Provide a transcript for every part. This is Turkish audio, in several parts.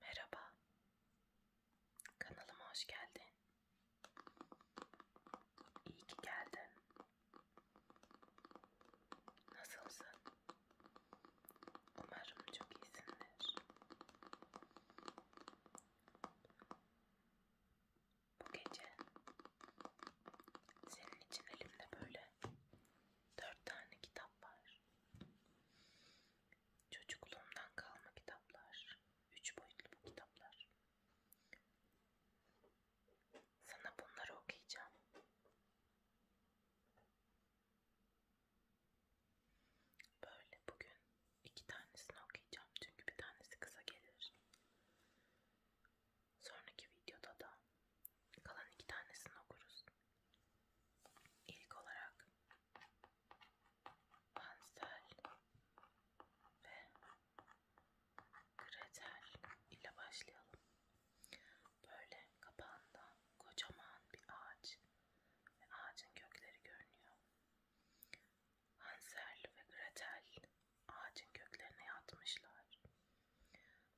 Merhaba. Kanalıma hoş geldin. İyi ki geldin. Nasılsın? Umarım çok iyisindir bu gece senin için elimde böyle dört tane kitap var. Çocukluğumdan kalma kitaplar. Üç boyutlu bu kitaplar. Sana bunları okuyacağım. Böyle bugün İki tanesini okuyacağım çünkü bir tanesi kısa gelir. Sonraki videoda da kalan iki tanesini okuruz. İlk olarak Hansel ve Gretel ile başlayalım. Böyle kapağında kocaman bir ağaç ve ağacın kökleri görünüyor. Hansel ve Gretel ağacın köklerine yatmışlar.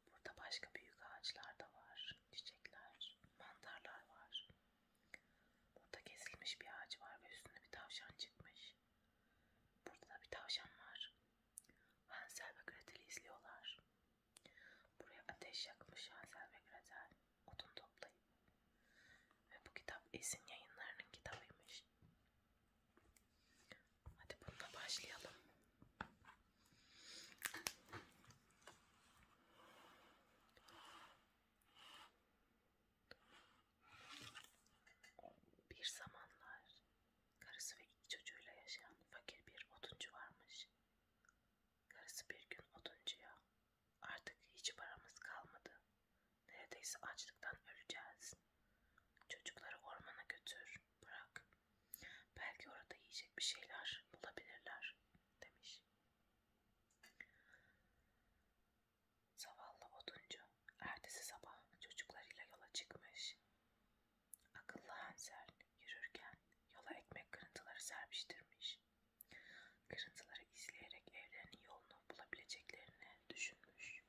Burada başka büyük ağaçlar da var, çiçekler, mantarlar var. Burada kesilmiş bir ağaç var ve üstüne bir tavşan çıkmış. Burada da bir tavşan var. Hansel ve Gretel'i izliyorlar. Buraya ateş yakmış Hansel ve Gretel odun toplayıp ve bu kitap Esin yayınlarının kitabıymış. Hadi bununla başlayalım. Bir zamanlar karısı ve iki çocuğuyla yaşayan fakir bir oduncu varmış. Karısı bir gün oduncuya Artık hiç paramız kalmadı. Neredeyse açlıktan öleceğiz. Çocukları ormana götür, bırak. Belki orada yiyecek bir şeyler bulabilirler, demiş. Zavallı oduncu, ertesi sabah çocuklarıyla yola çıkmış. Akıllı Hansel yürürken yola ekmek kırıntıları serpiştirmiş etmiş. Kırıntıları izleyerek evlerinin yolunu bulabileceklerini düşünmüş.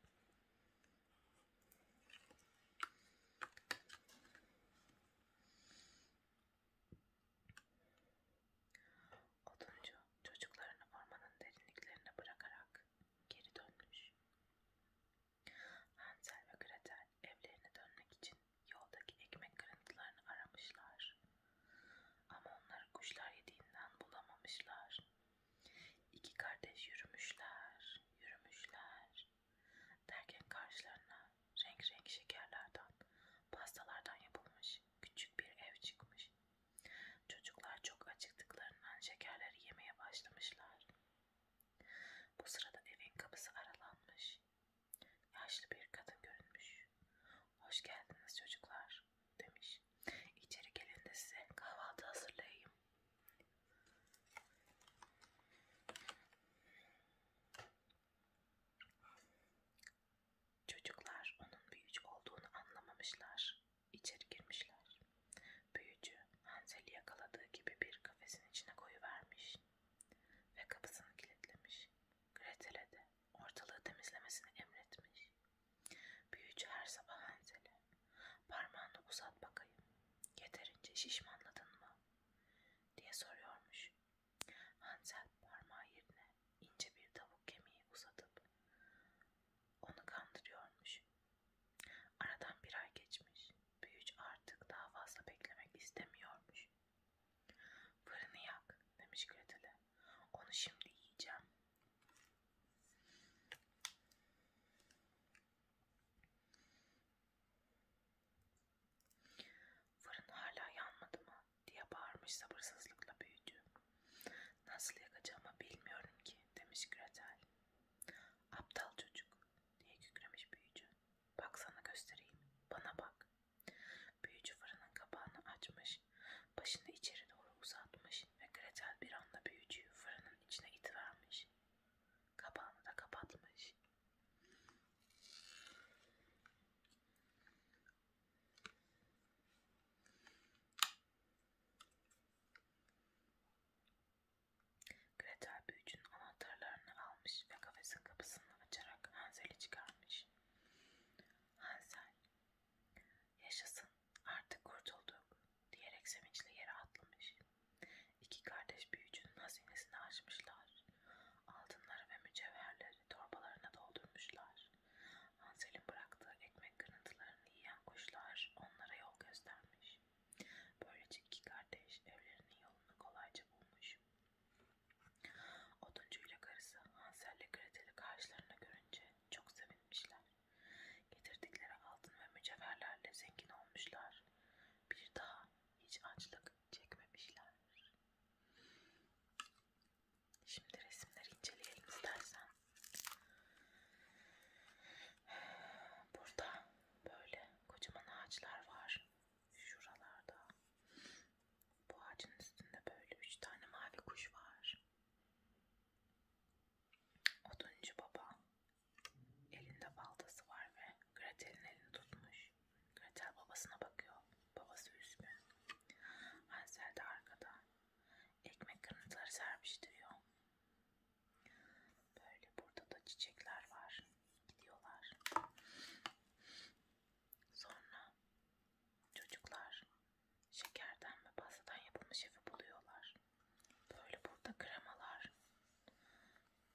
Oduncu çocuklarını ormanın derinliklerine bırakarak geri dönmüş. Hansel ve Gretel evlerine dönmek için yoldaki ekmek kırıntılarını aramışlar. Ama onları kuşlar yediğinden bulamamışlar. İki kardeş yürümüşler, yürümüşler. Derken karşılarına renk renk şekerlerden, pastalardan yapılmış küçük bir ev çıkmış. Çocuklar çok acıktıklarından şekerleri yemeye başlamışlar. Bu sırada evin kapısı aralanmış. Yaşlı bir kadın görünmüş. Hoş geldiniz çocuklar demiş. İçeri gelin de size kahvaltı hazırlayayım. Çocuklar onun büyücü olduğunu anlamamışlar. İçeri girmişler. Büyücü Hansel'i yakaladığı gibi bir kafesin içine koyuvermiş ve kapısını kilitlemiş. Gretel'e de ortalığı temizlemesini emretmiş. Büyücü her sabah Hansel'e parmağını uzat bakayım yeterince şişmanladın mı diye soruyormuş. Hansel parmağı yerine ince bir tavuk kemiği uzatıp onu kandırıyormuş. Aradan bir ay geçmiş. Büyücü artık daha fazla beklemek istemiyormuş. Fırını yak demiş Gretel'e. Onu şimdi yiyeceğim. Fırın hala yanmadı mı diye bağırmış sabırsızlıkla büyücü. Nasıl yakacağımı bilmiyorum ki demiş Gretel. Aptal çocuk diye kükremiş büyücü. Bak sana göstereyim. Bana bak Büyücü fırının kapağını açmış, başını içeri doğru uzatmış ve Gretel bir anda büyücüyü fırının içine itivermiş. Kapağını da kapatmış. Gretel büyücünün anahtarlarını almış ve kafesin kapısını açarak Hansel'i çıkarmış. Hansel, yaşasın artık kurtulduk diyerek sevinçle yere atlamış. İki kardeş büyücünün hazinesini açmışlar. Altınları ve mücevherleri torbalarına doldurmuşlar. Hansel'in bıraktığı ekmek kırıntılarını yiyen kuşlar onlara yol göstermiş. Böylece iki kardeş evlerinin yolunu kolayca bulmuş. Oduncuyla karısı Hansel ile Gretel'i karşılarına görünce çok sevinmişler. Getirdikleri altın ve mücevherlerle zengin olmuşlar. Bir daha hiç açlık çekmemişler. Şimdi resimleri inceleyelim istersen. Burada böyle kocaman ağaçlar var. Şuralarda bu ağacın üstünde böyle üç tane mavi kuş var. Oduncu baba elinde baltası var ve Gretel'in elini tutmuş. Gretel babasına bakıyor. Babası üzgün. Hansel de arkada. Ekmek kırıntıları serpiştiriyor. Böyle burada da çiçekler var gidiyorlar. Sonra çocuklar şekerden ve pastadan yapılmış evi buluyorlar. Böyle burada kremalar,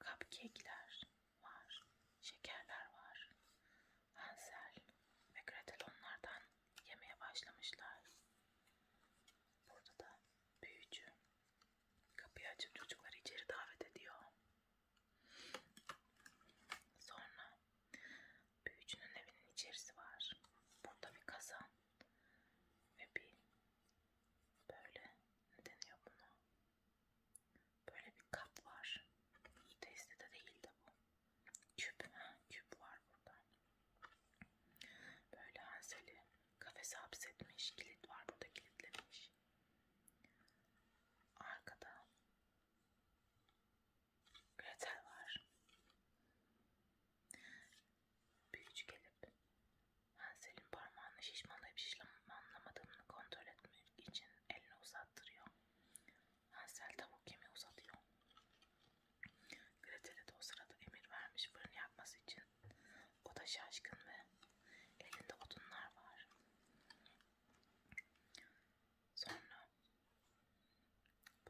cupcake'ler var, şekerler var. Hansel ve Gretel onlardan yemeye başlamışlar. Burada da büyücü kapıyı açıp çocukları içeri davet ediyor. Sonra büyücünün evinin içerisi var. Burada bir kazan ve bir böyle ne deniyor buna? Böyle bir kap var. Testi de değil de bu. Küp, ha, küp var burada. Böyle Hansel'i kafese hapsetmiş. Kilit var burada kilitlemiş. Arkada Gretel var. Büyücü gelip Hansel'in parmağını şişmanlayıp şişmanlamadığını kontrol etmek için elini uzattırıyor. Hansel tavuk kemiği uzatıyor. Gretel'e de o sırada emir vermiş fırın yakması için. O da şaşkın ve elinde odunlar var. Sonra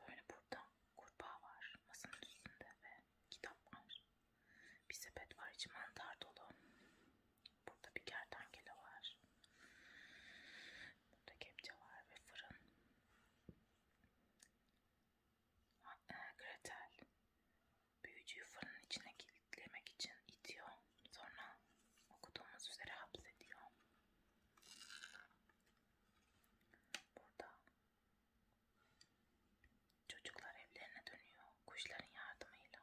böyle burada kurbağa var masanın üstünde ve kitap var. Bir sepet var içi mantar dolu. Burada bir kertenkele var. Burada kepçe var ve fırın. E, Gretel Büyücüyü fırının içine kilitlemek için itiyor. Sonra okuduğumuz üzere hapsediyor. Burada çocuklar evlerine dönüyor kuşların yardımıyla.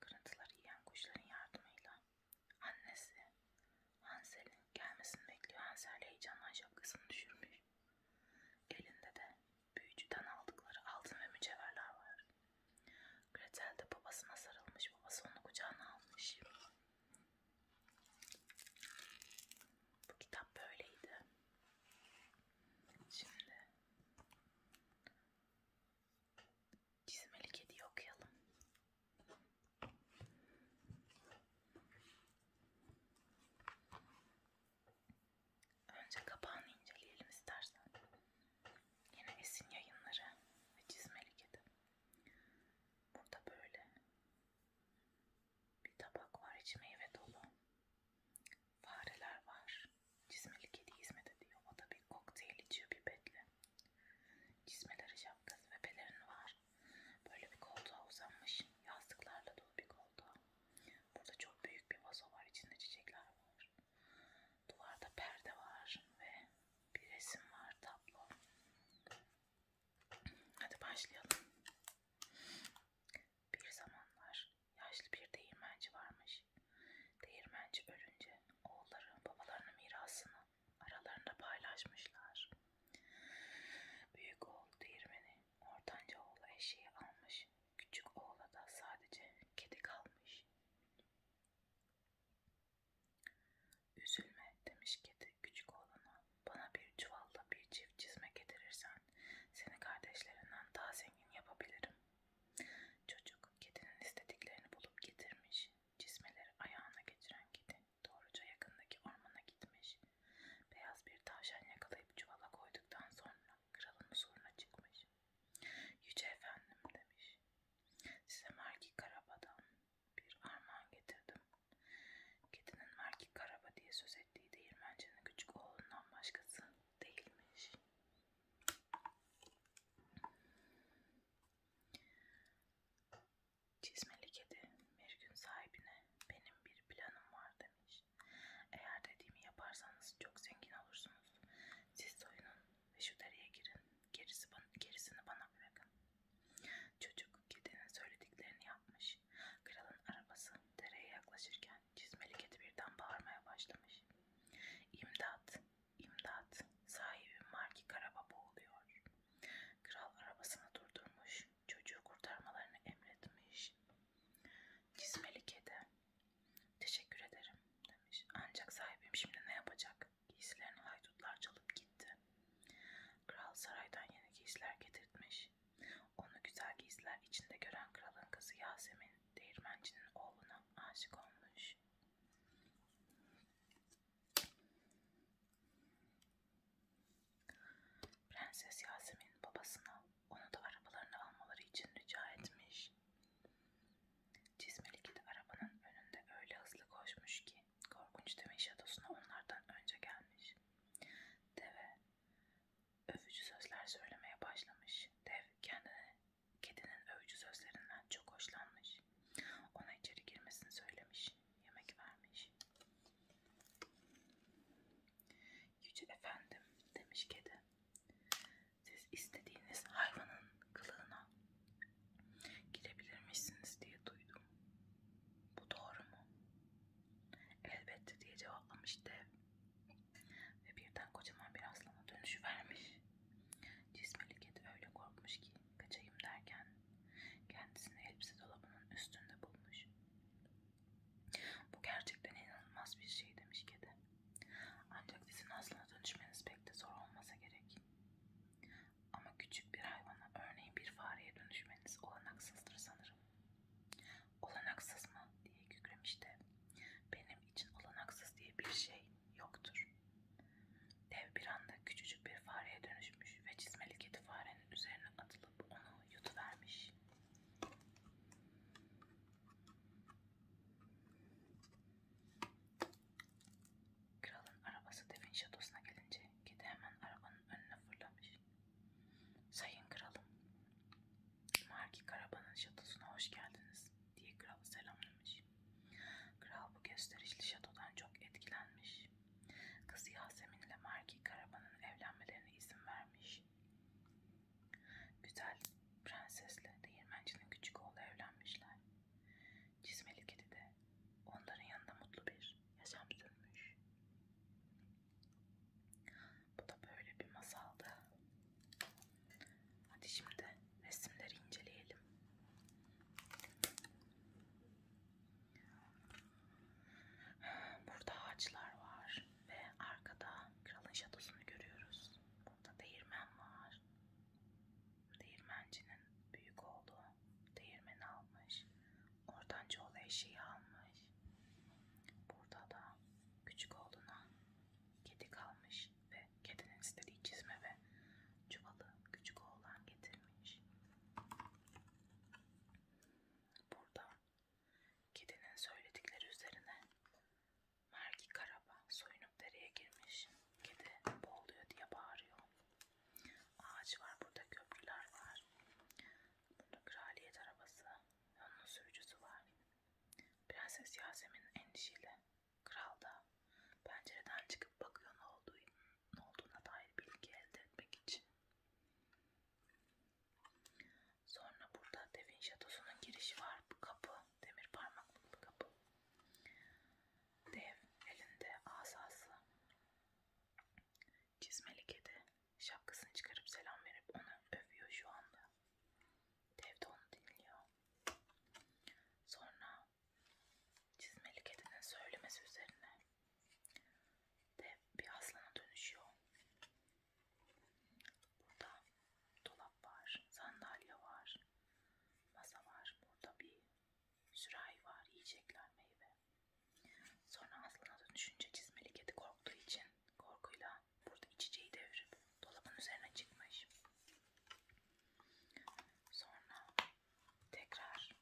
Kırıntıları yiyen kuşların yardımıyla. Annesi Hansel'in gelmesini bekliyor. Hansel heyecanla şapkasını düşürmüş. Elinde de büyücüden aldıkları altın ve mücevherler var. Gretel de babasına sarılmış, babası onu kucağına almış. Bu kitap böyleydi. Şimdi çizmeli kediyi okuyalım. Önce kapağını inceleyelim istersen. Yine Esin Yayınları ve Çizmeli Kedi. Burada böyle bir tabak var içi meyve dolu. Fareler var. Çizmeli Kedi hizmet ediyor. O da bir kokteyl içiyor pipetle. Çizmeleri şapkası ve pelerini var. Böyle bir koltuğa uzanmış. Yastıklarla dolu bir koltuğa. Burada çok büyük bir vazo var. İçinde çiçekler var. Duvarda perde var ve bir resim var. Tablo. Hadi başlayalım. Bir zamanlar yaşlı bir değirmenci varmış. Değirmenci ölünce oğulları babalarının mirasını aralarında paylaşmışlar. Büyük oğul değirmeni ortanca oğlu eşeği almış Küçük oğla da sadece kedi kalmış. Üzülme demiş kedi küçük oğlana. Bana bir çuvalda bir çift çizme getirirsen seni kardeşlerinden daha zengin yapabilirim. Çocuk kedinin istediklerini bulup getirmiş. Çizmeleri ayağına geçiren kedi doğruca yakındaki ormana gitmiş. Beyaz bir tavşan yakalayıp çuvala koyduktan sonra kralın huzuruna çıkmış. Yüce efendim demiş. Size Marki Karaba'dan bir armağan getirdim. Kedinin Marki Karaba diye söz ettiği değirmencinin küçük oğlundan başkası değilmiş. Çizmeli kedi bir gün sahibine benim bir planım var demiş. Eğer dediğimi yaparsanız çok zengin olursunuz. Siz soyunun ve şu deriye girin. Gerisi bana, gerisini bana bırakın. Çocuk kedinin söylediklerini yapmış. Kralın arabası dereye yaklaşırken çizmeli kedi birden bağırmaya başlamış. İmdat, imdat, sahibim Marki Karaba boğuluyor. Kral arabasını durdurmuş çocuğu kurtarmalarını emretmiş. Cizmeli kedi, teşekkür ederim demiş. Ancak sahibim şimdi ne yapacak? Giysilerini haydutlar çalıp gitti. Kral saraydan yeni giysiler getirtmiş. Onu güzel giysiler içinde gören kralın kızı Yasemin, değirmencinin oğluna aşık olmuş. Prenses Yasemin babasına onu da arabalarını almaları için rica etmiş. Çizmeli kedi arabanın önünde öyle hızlı koşmuş ki korkunç demin şatosuna onlardan önce gelmiş. Deve övücü sözler söylemeye başlamış. Dev kendini kedinin övücü sözlerinden çok hoşlanmış. Ona içeri girmesini söylemiş. Yemek vermiş. Yüce efendim demiş kedi. Siz istediğiniz hayvanın kılığına girebilirmişsiniz diye duydum. Bu doğru mu? Elbette diye cevaplamış dev. Ve birden kocaman bir aslana dönüşü vermiş. Cismeli kedi öyle korkmuş ki kaçayım derken kendisini elbise dolabının üstünde bulmuş. Bu gerçekten inanılmaz bir şey demiş kedi. Ancak sizin aslına dönüşmeniz pek de zor olmasa gerek. Ama küçük bir hayvana örneğin bir fareye dönüşmeniz olanaksızdır sanırım. Olanaksız mı diye kükremiş de benim için olanaksız diye bir şey yoktur. Dev bir anda küçücük bir fareye dönüşmüş ve çizmeli kedi farenin üzerine atılıp bulup onu yutuvermiş. Kralın arabası devin şatosuna gelince kedi hemen arabanın önüne fırlamış. Sayın kralım, Marki Karaba'nın şatosuna hoş geldiniz diye kralı selamlamış. Kral bu gösterişli şatodan çok etkilenmiş. Kız Yasemin ile Marki Karaman'ın evlenmelerine izin vermiş. Güzel prensesle değirmencinin küçük oğlu evlenmişler. Çizmeli kedi de onların yanında mutlu bir yaşam sürmüş. Bu da böyle bir masaldı. Hadi şimdi resimleri inceleyelim. Burada ağaçlar var ve arkada kralın şatosunu görüyoruz. Burada değirmen var. Değirmencinin büyük oğlu değirmeni almış. Oradan çoğu eşeği almış. Burada da küçük oğluna kedi kalmış ve kedinin istediği çizme ve çuvalı küçük oğlan getirmiş. Burada kedinin söyledikleri üzerine Mergi Karaba soyunup dereye girmiş. Kedi boğuluyor diye bağırıyor. Ağaç var burada köprüler var. Burada kraliyet arabası, onun sürücüsü var. Prenses Yasemin endişeli. Kral da pencereden çıkıp bakıyor ne olduğunu ne olduğuna dair bilgi elde etmek için. Sonra burada Devin Şatosu'nun girişi var. Bu kapı, demir parmaklı bir kapı. Dev elinde asası. Çizmeli kedi şapkasını çıkarıp selam verip onu övüyor şu anda. Dev de onu dinliyor. Sonra Çizmeli kedinin söylemesi üzerine de bir aslana dönüşüyor. Burada dolap var, sandalye var, masa var. Burada bir sürahi var, yiyecekler, meyve. Sonra aslana dönüşünce çizmeli kedi korktuğu için korkuyla burada içeceği devirip dolabın üzerine çıkmış. Sonra Tekrar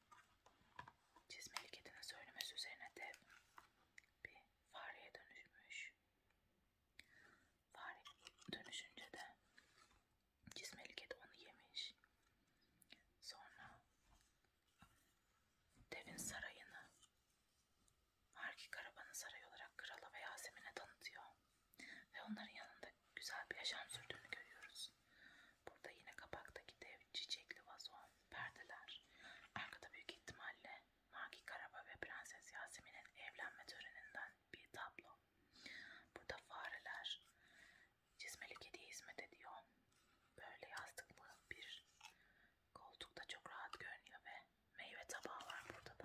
çizmeli kedinin söylemesi üzerine dev bir fareye dönüşmüş. Fare dönüşünce de çizmeli kedi onu yemiş. Sonra devin sarayını Marki Karaban'ın sarayı olarak krala ve Yasemin'e tanıtıyor. Ve onların yanında yaşlarda güzel bir yaşam sürdüğünü görüyoruz. Burada yine kapaktaki dev çiçekli vazon, perdeler, arkada büyük ihtimalle Maki Karaba ve Prenses Yasemin'in evlenme töreninden bir tablo. Burada fareler, çizmeli kediye hizmet ediyor. Böyle yastıklı bir koltukta çok rahat görünüyor ve meyve tabağı var burada da.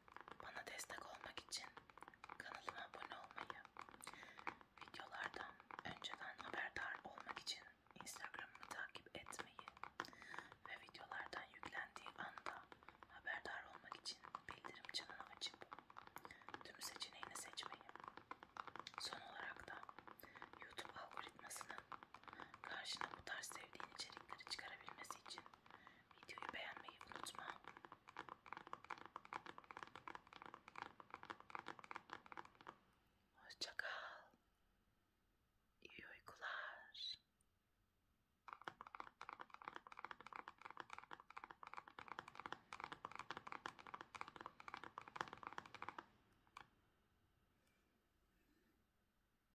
Bana destek olmak için kanalıma abone olmayı, videolardan önceden haberdar olmak için Instagram'ımı takip etmeyi ve videolardan yüklendiği anda haberdar olmak için bildirim çanını açıp tüm seçeneğini seçmeyi. Son olarak da YouTube algoritmasının karşına bu tarz sevdiğin içerikleri çıkarabilmesi için eu videoyu beğenmeyi unutma. Hoşça kal. İyi uykular.